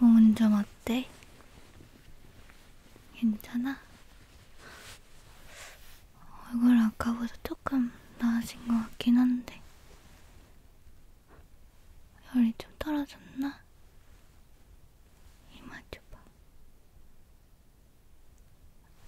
몸은 어, 좀 어때? 괜찮아? 얼굴 아까보다 조금 나아진 것 같긴 한데 열이 좀 떨어졌나? 이마 줘봐.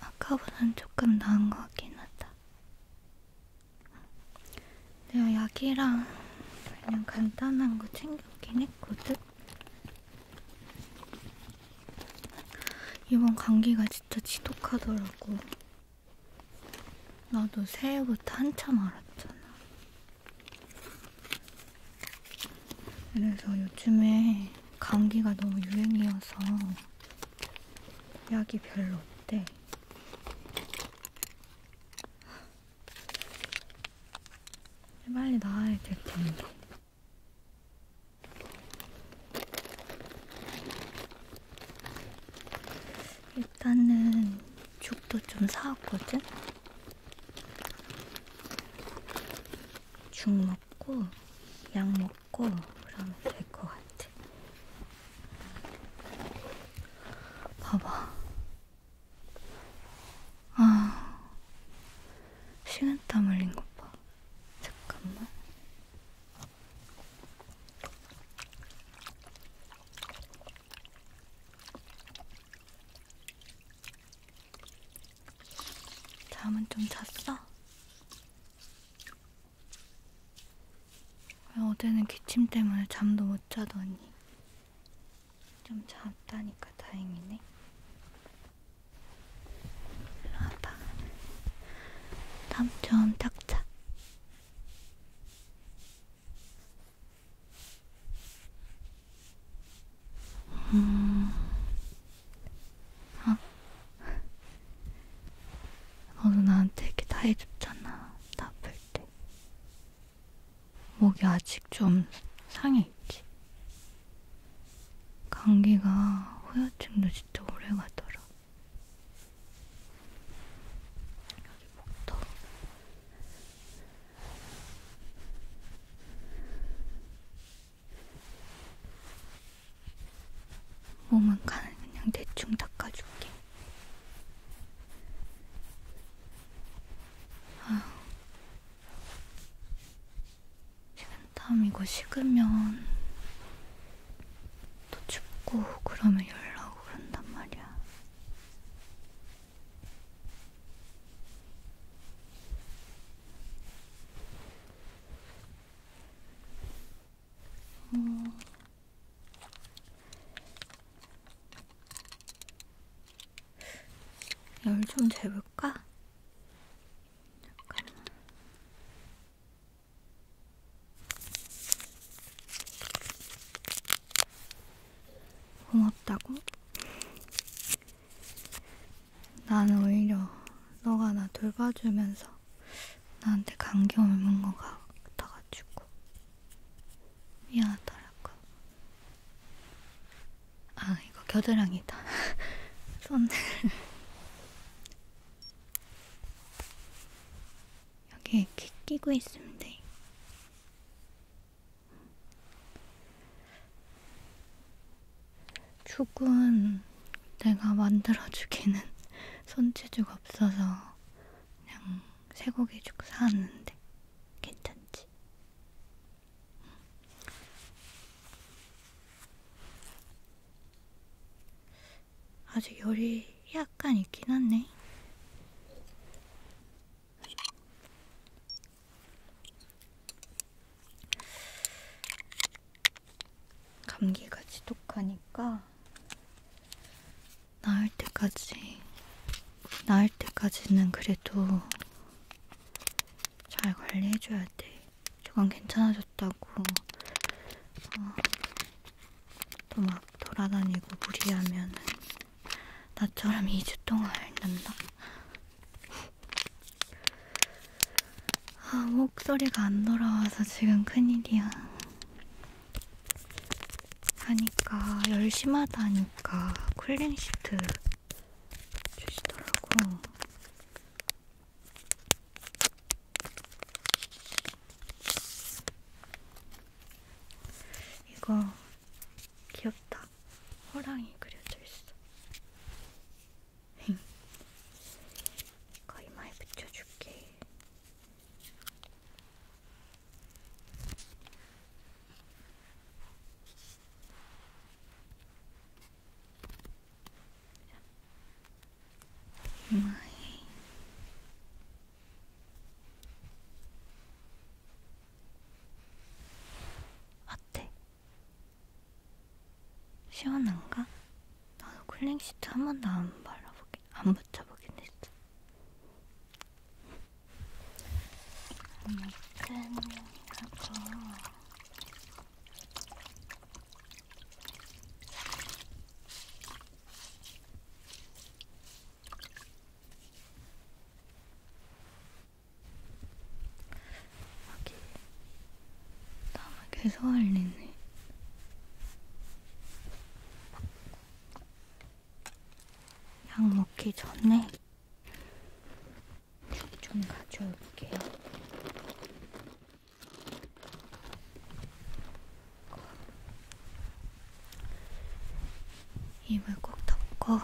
아까보단 조금 나은 것 같긴 하다. 내가 약이랑 그냥 간단한 거 챙겼긴 했거든? 이번 감기가 진짜 지독하더라고. 나도 새해부터 한참 알았잖아. 그래서 요즘에 감기가 너무 유행이어서 약이 별로 없대. 빨리 나와야 될 텐데. 일단은 죽도 좀 사왔거든? 죽 먹고, 약 먹고, 그러면 될 것 같아. 봐봐. 아, 식은땀 흘린 것 봐. 잠깐만. 잠은 좀 잤어? 어제는 기침 때문에 잠도 못 자더니 좀 작다니까 다행이네. 일로 와봐. 땀좀 닦자. 음, 아, 어, 너도 나한테 이렇게 다 해줬잖아. 나쁠 때. 목이 아직 좀 상해 있지. 감기가 후유증도 진짜 오래 가더라. 여기 목도. 몸은 그냥 대충 닦아줄게. 아, 식은땀 이거 식으면 또 춥고 그러면 열 나고 그런단 말이야. 음, 열좀 재볼까? 잠깐만. 고맙다고? 난 오히려 너가 나 돌봐주면서 나한테 감기 옮은 거 같아가지고 미안하더라고. 아 이거 겨드랑이다. 손 여기 이렇게 끼고 있으면 돼. 죽은 내가 만들어주기는 손재주가 없어서 그냥 쇠고기죽 사왔는데 괜찮지? 아직 열이 약간 있긴 한네. 감기가 지독하니까 나을 때까지 나을 때까지는 그래도 잘 관리해줘야 돼. 저건 괜찮아졌다고. 어, 또막 돌아다니고 무리하면 나처럼 2주 동안 앓는다. 아, 목소리가 안 돌아와서 지금 큰일이야. 하니까 열심하다니까 쿨링 시트 주시더라고. 이거 귀엽다. 호랑이 그려져 있어. 이거 이마에 붙여줄게. うまい어때? 시원한가? 나도 쿨링시트 한 번도 안 발라보긴, 안 붙여보긴 했어. 매끈하고 여기 땀을 계속 흘리네. 약 먹기 전에 좀 가져올게요. 입을 꼭 덮고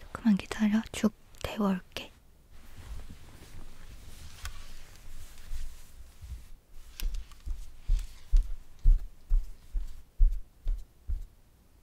조금만 기다려 쭉 데워올게.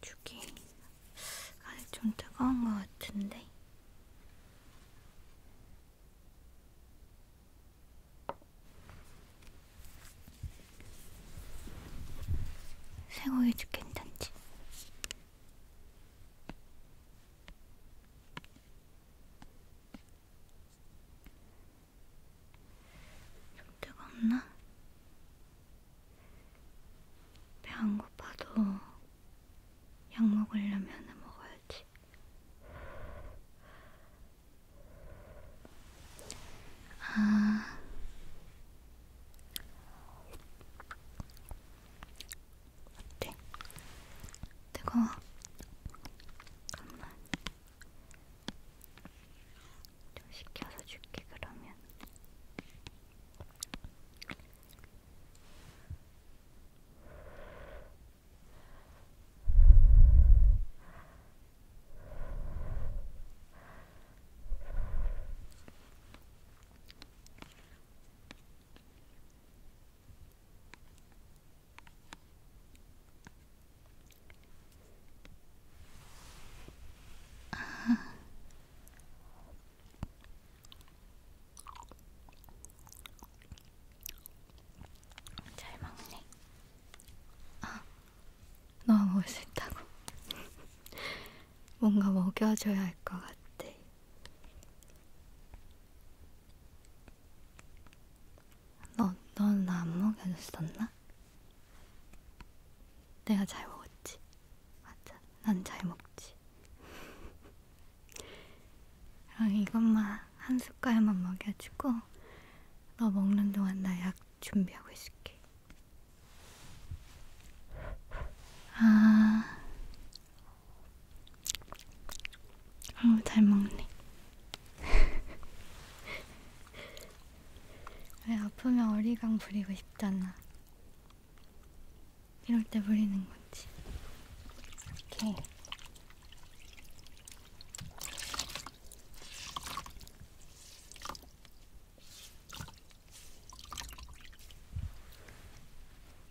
죽이 아직 좀 뜨거운 것 같은데. 쇠고기 죽 괜찮지? 좀 뜨겁나? 배안 고파도 약 먹으려면 먹어야지. 아. 어때? 뜨거워? 잠깐만. 좀 시켜서 줄게 그러면 음. 아. 잘 먹네. 아, 너무 먹을 수 있다고. 뭔가 먹여줘야 할 것 같아. 너, 넌나안 먹여줬었나? 내가 잘 먹었지. 맞아. 난 잘 먹지. 그럼 이것만 한 숟갈만 먹여주고 너 먹는 동안 나 약 준비하고 있을게. 아, 어, 잘 먹네. 왜 아프면 어리광 부리고 싶잖아. 이럴 때 부리는 거지. 이렇게.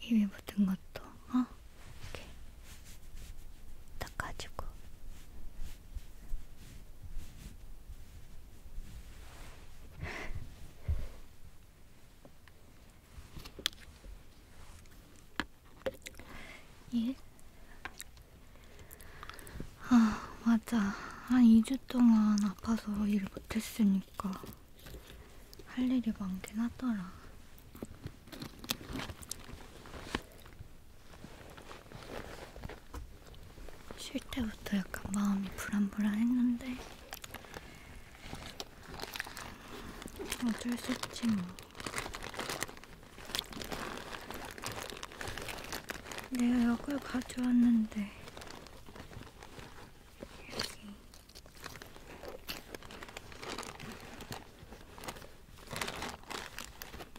입에 묻은 것도, 어? 이렇게 닦아주고. 예? 아, 맞아. 한 2주 동안 아파서 일 못했으니까 할 일이 많긴 하더라. 쉴 때부터 약간 마음이 불안불안했는데 어쩔 수 없지 뭐 내가 약을 가져왔는데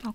여기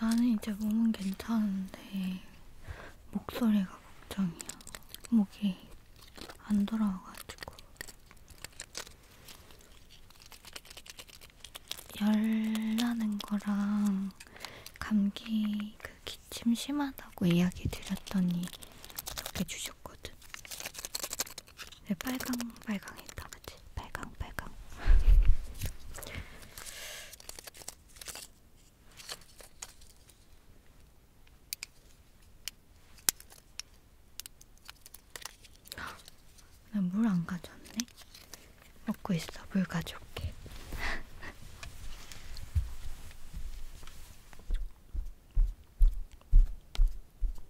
나는 이제 몸은 괜찮은데 목소리가 걱정이야. 목이 안 돌아와가지고 열 나는 거랑 감기 그 기침 심하다고 이야기 드렸더니 이렇게 주셨거든. 왜 네, 빨강 빨강했다 그치? 빨강 빨강 나 물 안 가져왔네? 먹고 있어 물 가져올게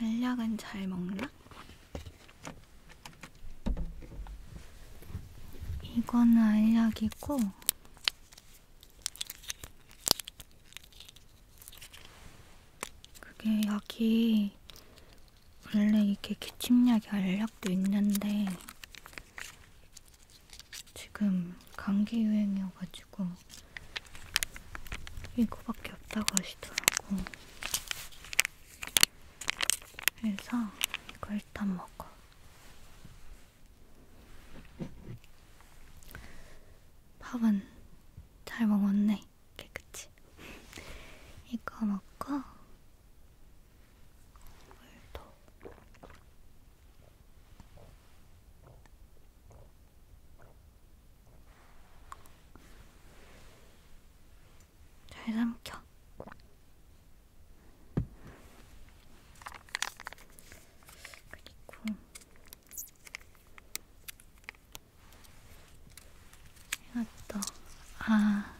알약은 잘 먹나? 이거는 알약이고 그게 약이 원래 이렇게 기침약이 알약도 있는데 지금 감기 유행이어가지고 이거밖에 없다고 하시더라고. 그래서 이거 일단 먹어. 밥은 잘 먹었네. 깨끗이. 이거 먹고 물도 잘 삼켜. 그리고 이것도 아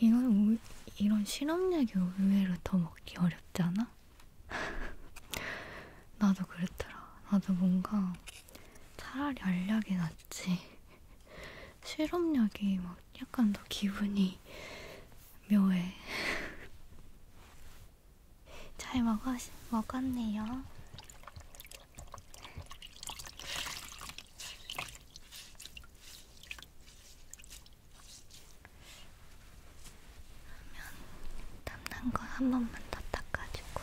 이건 이런 실험약이 의외로 더 먹기 어렵잖아? 나도 그랬더라. 나도 뭔가 차라리 알약이 낫지. 실험약이 막 약간 더 기분이 묘해. 잘 먹었, 먹었네요. 그러면 땀난 거 한 번만 더 닦아주고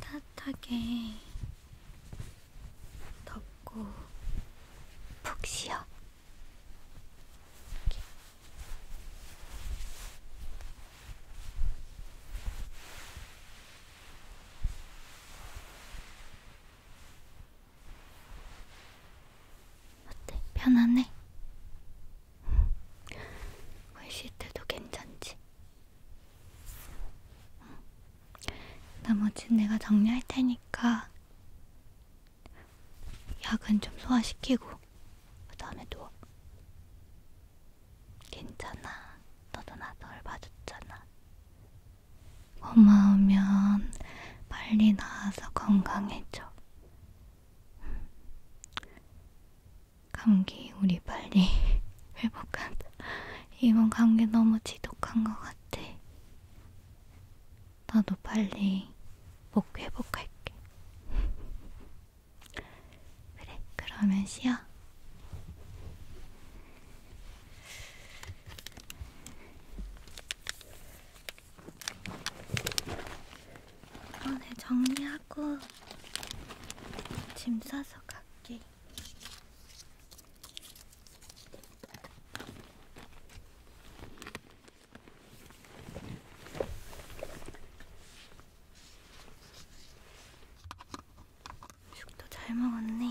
따뜻하게 덮고 푹 쉬어. 이렇게. 어때? 편안해? 훨씬 때도 괜찮지? 응. 나머지는 내가 정리할 테니까 약은 좀 소화시키고 그 다음에 누워 괜찮아 너도 나널 봐줬잖아 고마우면 빨리 나아서 건강해져 응. 감기 우리 빨리 회복한다. 이번 감기 너무 지독한 것 같아. 나도 빨리 목 회복할게. 그래, 그러면 쉬어. 이번에 어, 네, 정리하. 하고 짐 싸서 갈게. 죽도 잘 먹었네.